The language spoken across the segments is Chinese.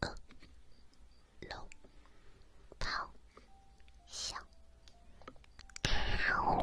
饿了，跑小猫。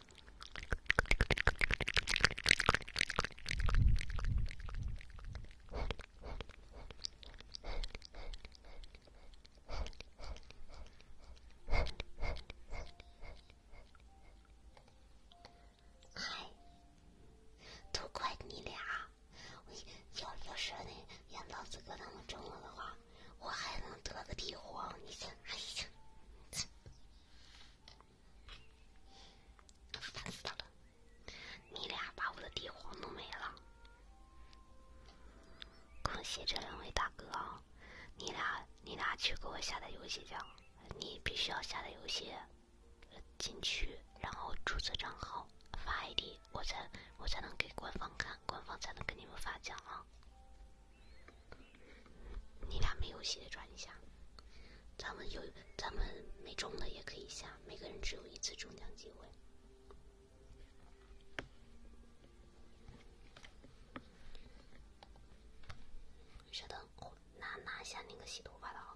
嗨，都怪你俩！要要是那杨老子哥那么中了的话，我还能得个帝皇，你想想。你俩把我的地皇弄没了。恭喜这两位大哥，啊，你俩你俩去给我下载游戏去，你必须要下载游戏进去，然后注册账号发 ID，我才我才能给官方看，官方才能给你们发奖啊。你俩没有戏的转一下，咱们有咱们没中的也可以下，每个人只有一次中奖机会。稍等，拿拿下那个洗头发的。啊。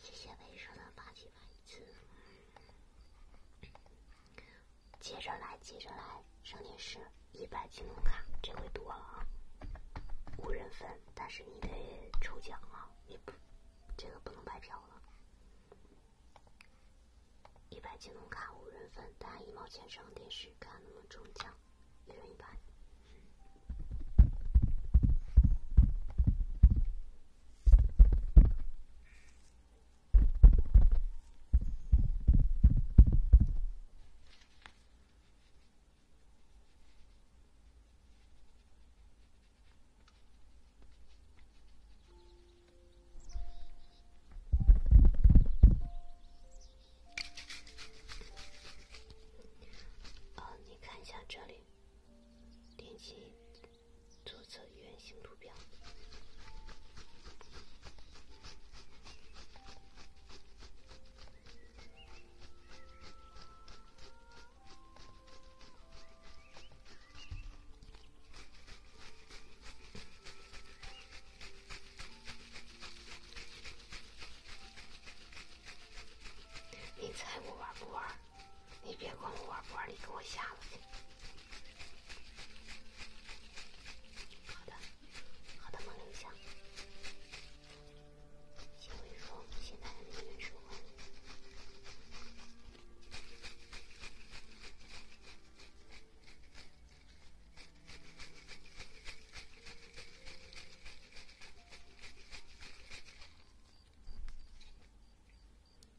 谢谢卫生的发起文字，接着来，接着来，上电视，一百金龙卡，这回多了啊，五人分，但是你得抽奖啊，你不这个不能白嫖了。一百京东卡五人份，打一毛钱上电视，看能不能中奖，一人一百。哦，你看一下这里，点击左侧圆形图标。你猜我玩不玩？你别管我玩不玩，你给我下了去。好的，好的，梦铃响。请回复，现在还没有收完。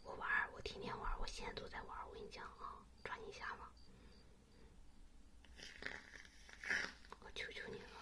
我玩我天天玩我现在都在玩我跟你讲啊，抓紧下嘛！我求求你了。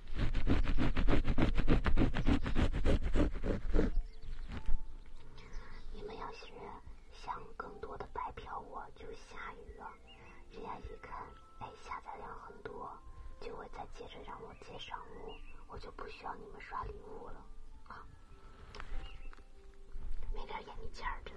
你们要是想更多的白嫖，我就下雨了。人家一看，哎，下载量很多，就会再接着让我接上路，我就不需要你们刷礼物了。啊，没点眼力见儿，真。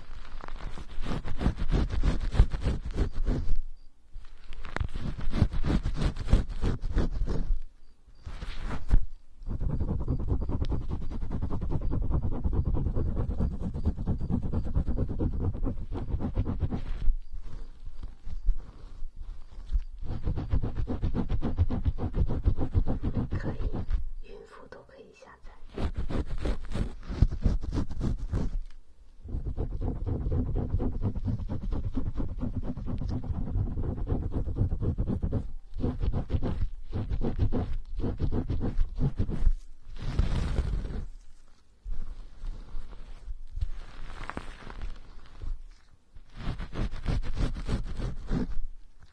可以，孕妇都可以以下载。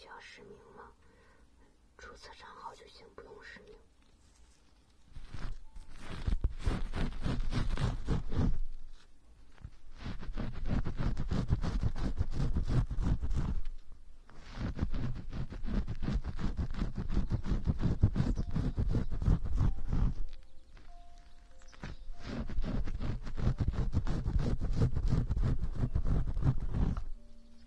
需要实名吗？注册账号就行，不用实名。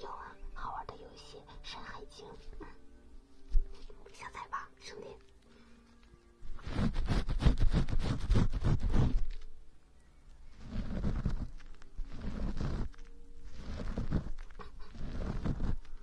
有啊，好玩的游戏《山海经》，下载吧，兄弟。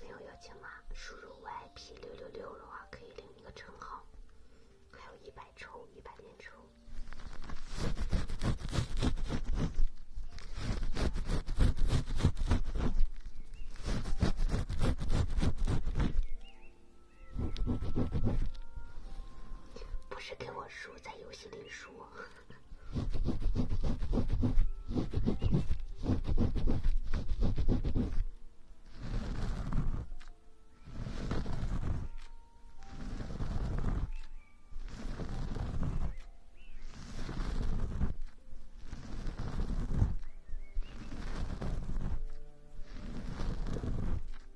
没有邀请码，输入 VIP 六六六的话可以领一个称号，还有一百抽，一百连抽。不是给我输，在游戏里输。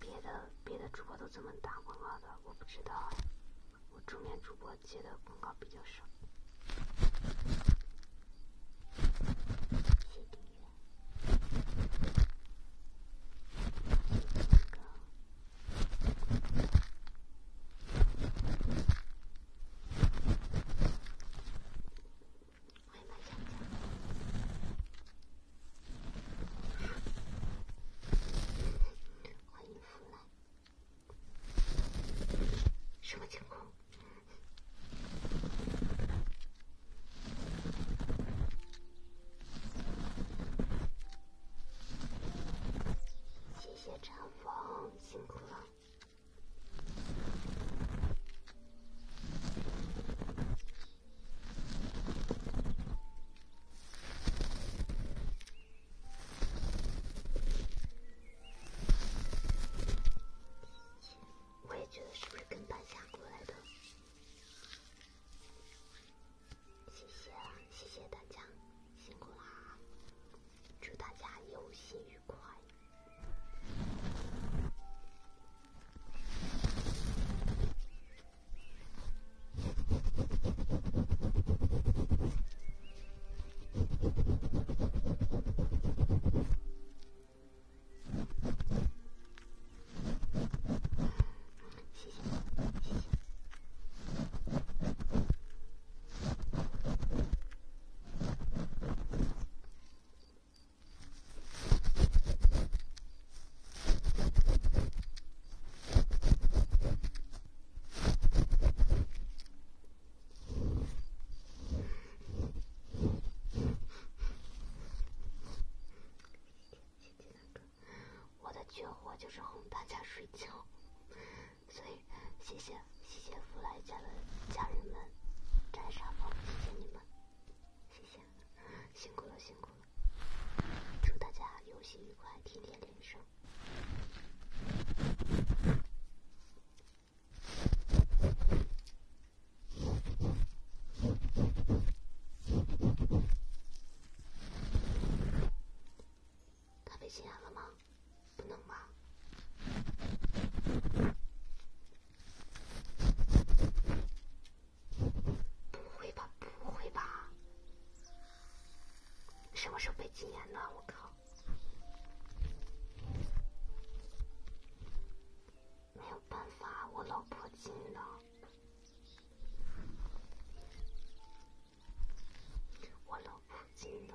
别的别的主播都怎么打广告的？我不知道，我助面主播接的广告比较少。欢迎来。什么情况？谢谢长风，辛苦了。我也觉得是不是跟搬家过来的？谢谢啊，谢谢大家。辛苦啦！祝大家游心愉快！谢谢，谢谢。我的绝活就是哄大家睡觉。所以，谢谢谢谢福来家的家人们摘沙包，谢谢你们，谢谢，辛苦了辛苦了，祝大家游戏愉快，天天连胜。他被禁言了吗？不能吧？不会吧？不会吧？什么时候被禁言的？我靠！没有办法，我老婆禁的，我老婆禁的。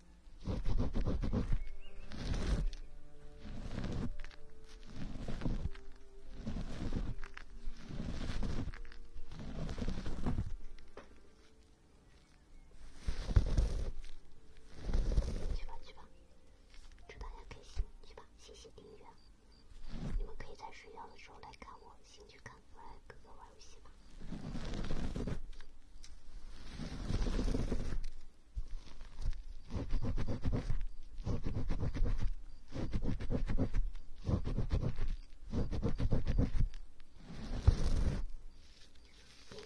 去吧去吧，祝大家开心！去吧，谢谢订阅。你们可以在睡觉的时候来看我，先去看我哥哥玩游戏吧。一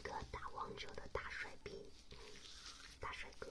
个打网球的大帅逼，大帅哥。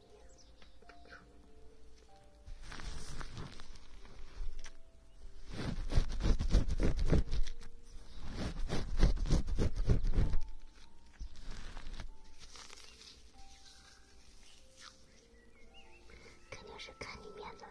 肯定是看你面子来的。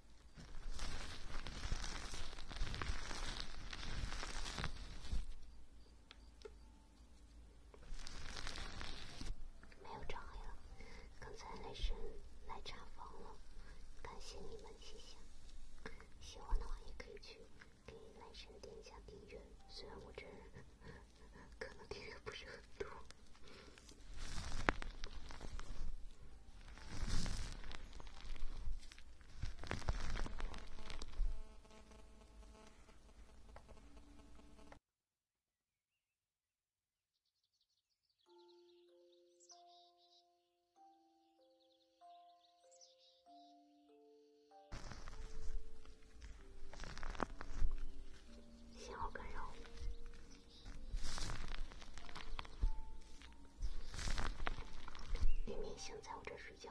没有着黑了，刚才雷神来查房了，感谢你们，谢谢。喜欢的话也可以去给雷神点下订阅，虽然我这可能订阅不是很多。信号干扰。明明想在我这睡觉。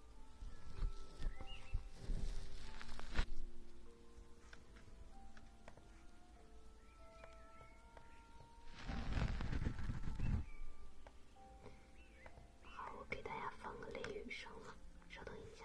好，我给大家放个雷雨声了，稍等一下。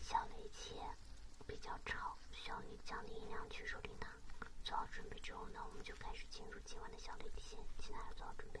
小的一切比较吵，需要你降低音量去处理呢。做好准备之后呢，我们就开始进入。今晚的小率底线，其他要做好准备。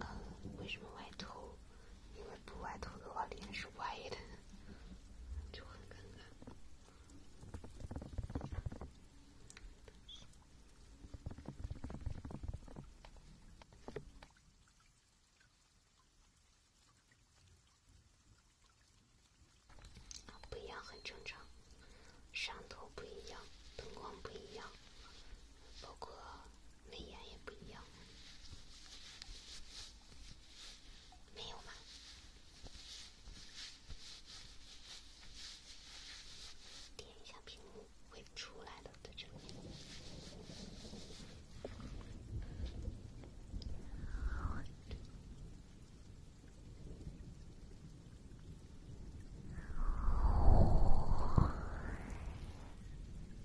呃，为什么歪头？因为不歪头的话，脸是歪的，就很尴尬。不一样很正常，上头不一样，灯光不一样，包括。美颜也不一样，没有吗？点一下屏幕会出来的，在这。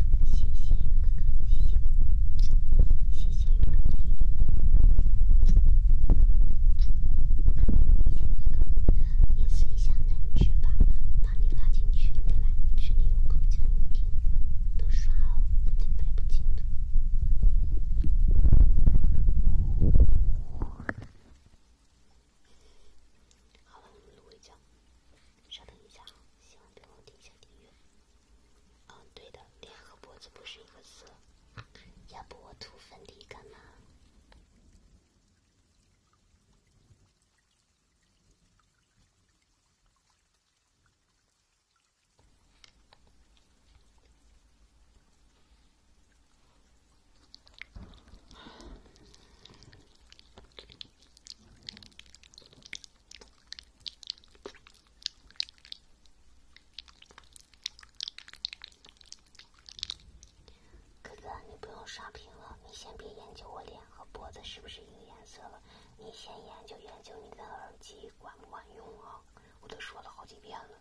谢谢哥哥，谢谢哥哥，谢谢勇敢的引导。哥哥，哥哥，你一下男爵吧，把你拉进群里来，群里有口令，你听，都刷哦，真拍不进的。好了，我们录尾声，稍等一下啊，喜欢给我点一下订阅。嗯，对的，脸和脖子不是一个色，要不我涂粉底干嘛？哥哥，你不用刷屏了，你先别研究我脸和脖子是不是一个颜色了，你先研究研究你的耳机管不管用啊！我都说了好几遍了。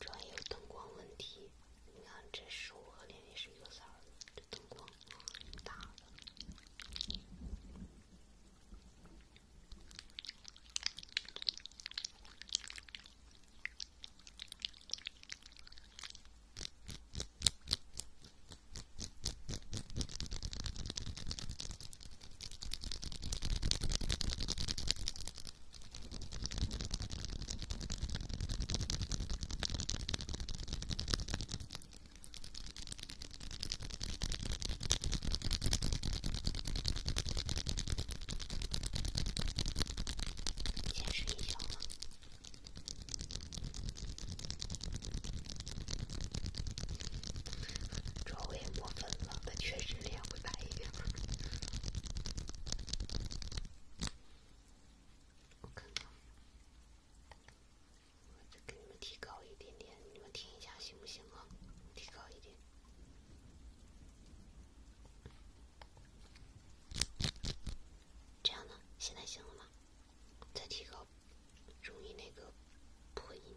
专业灯光问题，你看这书和脸也是一个色儿，这灯光太大了。先睡一觉了。昨晚我也抹粉了，他确实脸会白一点。我看看，我再给你们提高一点点，你们听一下行不行啊？提高一点，这样呢？现在行了吗？再提高，容易那个破音。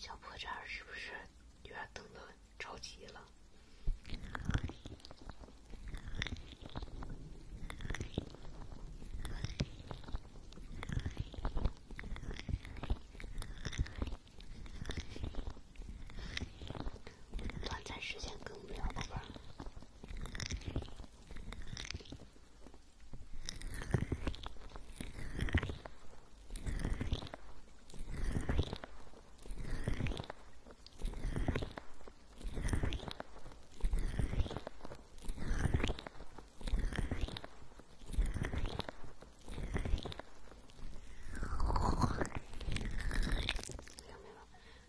小破绽是不是有点等的着急了？短暂时间更不了吧？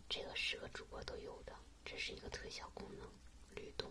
这个是个主播都有的，这是一个特效功能，律动。